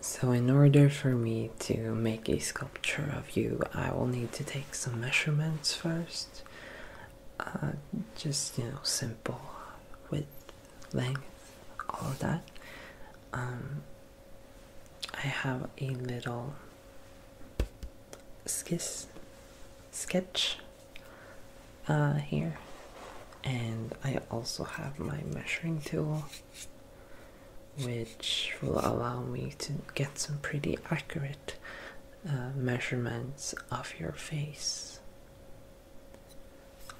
So in order for me to make a sculpture of you, I will need to take some measurements first. Uh, just, you know, simple width, length, all that. Um, I have a little skis, sketch uh, here. And I also have my measuring tool which will allow me to get some pretty accurate uh, measurements of your face.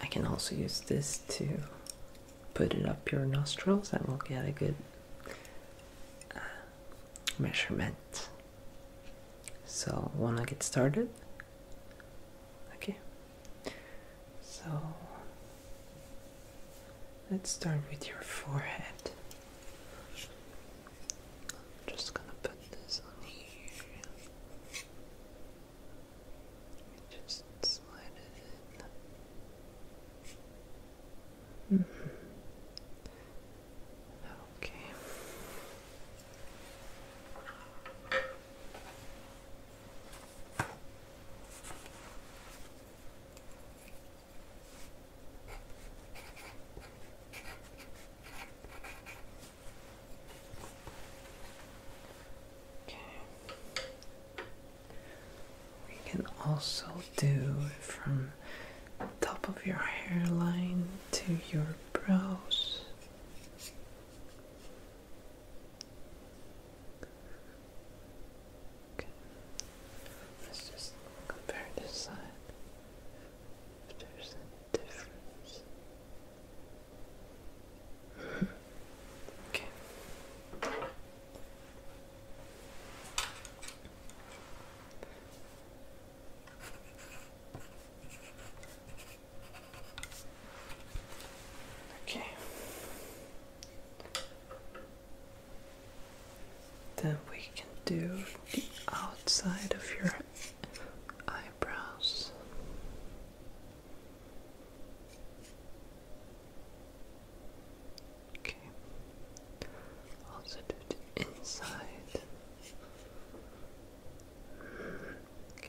I can also use this to put it up your nostrils and we'll get a good uh, measurement. So, wanna get started? Okay, so let's start with your forehead. just gonna put this on here. Just slide it in. Mm-hmm. Okay. Okay. We can also do from top of your hairline to your brows. Okay. Let's just compare this side. If there's a difference. Okay. Okay. Then we can do the outside of your eyebrows. Okay. Also do the inside. Okay.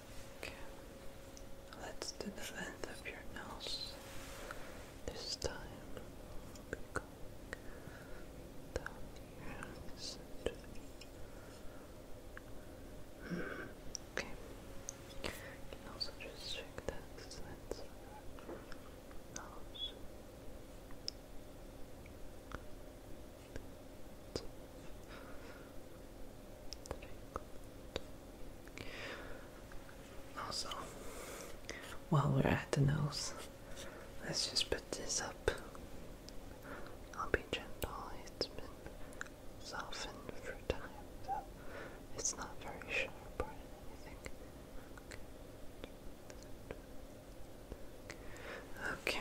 Let's do the length of your nose this time. Okay. also just check that length of your nose. Also, while we're at the nose, let's just put this up. I'll be gentle, it's been softened for time, so it's not very sharp or anything. okay.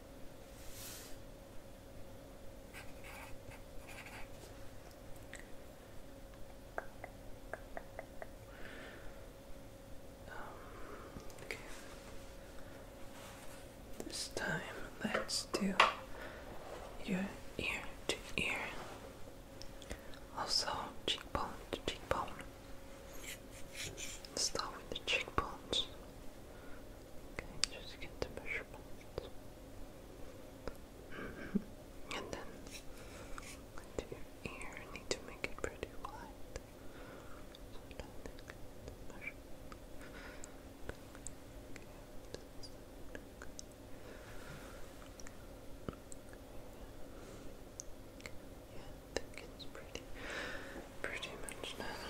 Um, this time, let's do your ear to ear, also cheekbone to cheekbone. Start with the cheekbones. Okay, just get the measurements. And then into your ear, need to make it pretty wide. So now let's get the measurement. Yeah, I think pretty, pretty much done.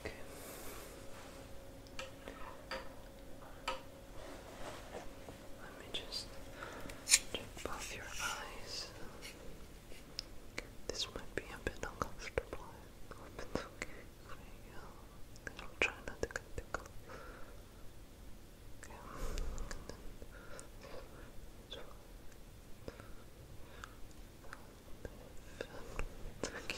Okay. Let me just check both your eyes. This might be a bit uncomfortable. okay you. I'll try not to get tickled. Okay. Okay.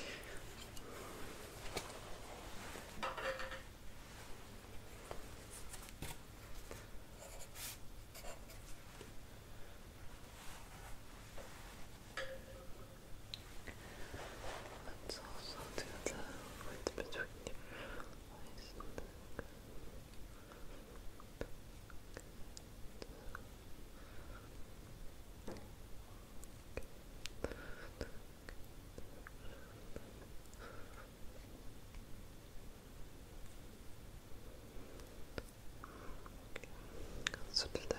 Let's also do the width between your eyes so to the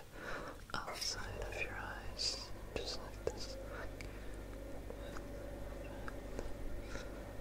outside of your eyes, just like this.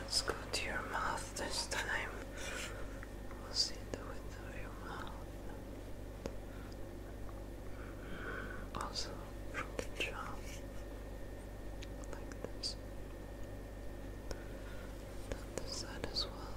Let's go to your mouth this time. We'll see the width of your mouth. Mm-hmm. Also from the jaw, like this. Then the side as well.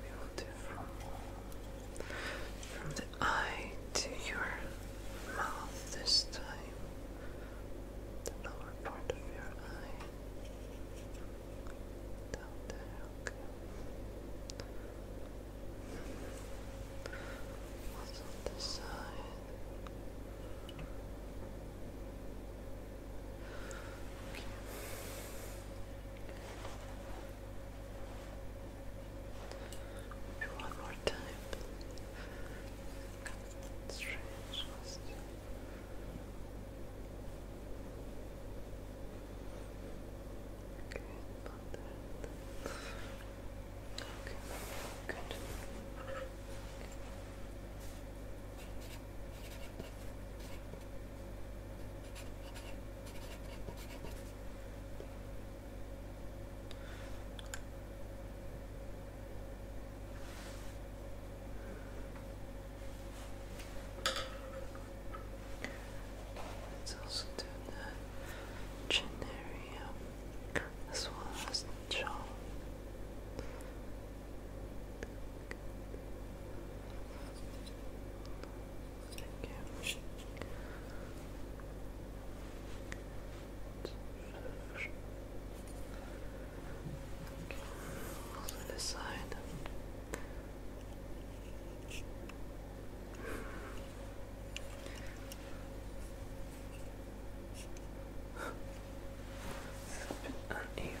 We will do from, the eye to your mouth this time. The lower part of your eye. Down there, okay. Also side. Okay. Maybe one more time. Strange. Okay, about good. Let's also the chin as well as the jaw. Thank you. side. it's a bit uneven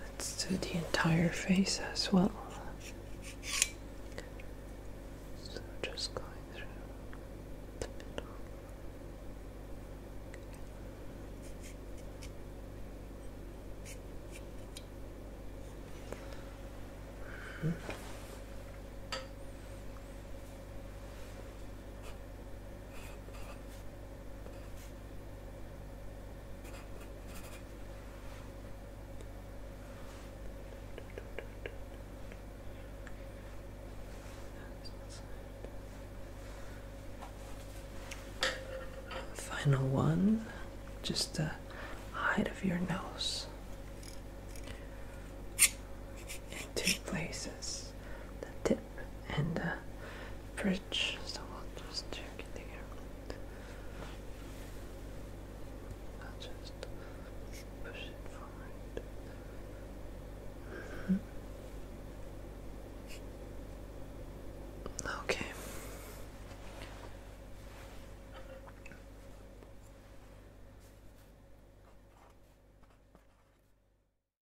Let's do the entire face as well. So just going through the middle. Final one, just the height of your nose in two places and the bridge. So we'll just check it here. I'll just push it forward. Mm-hmm. Okay.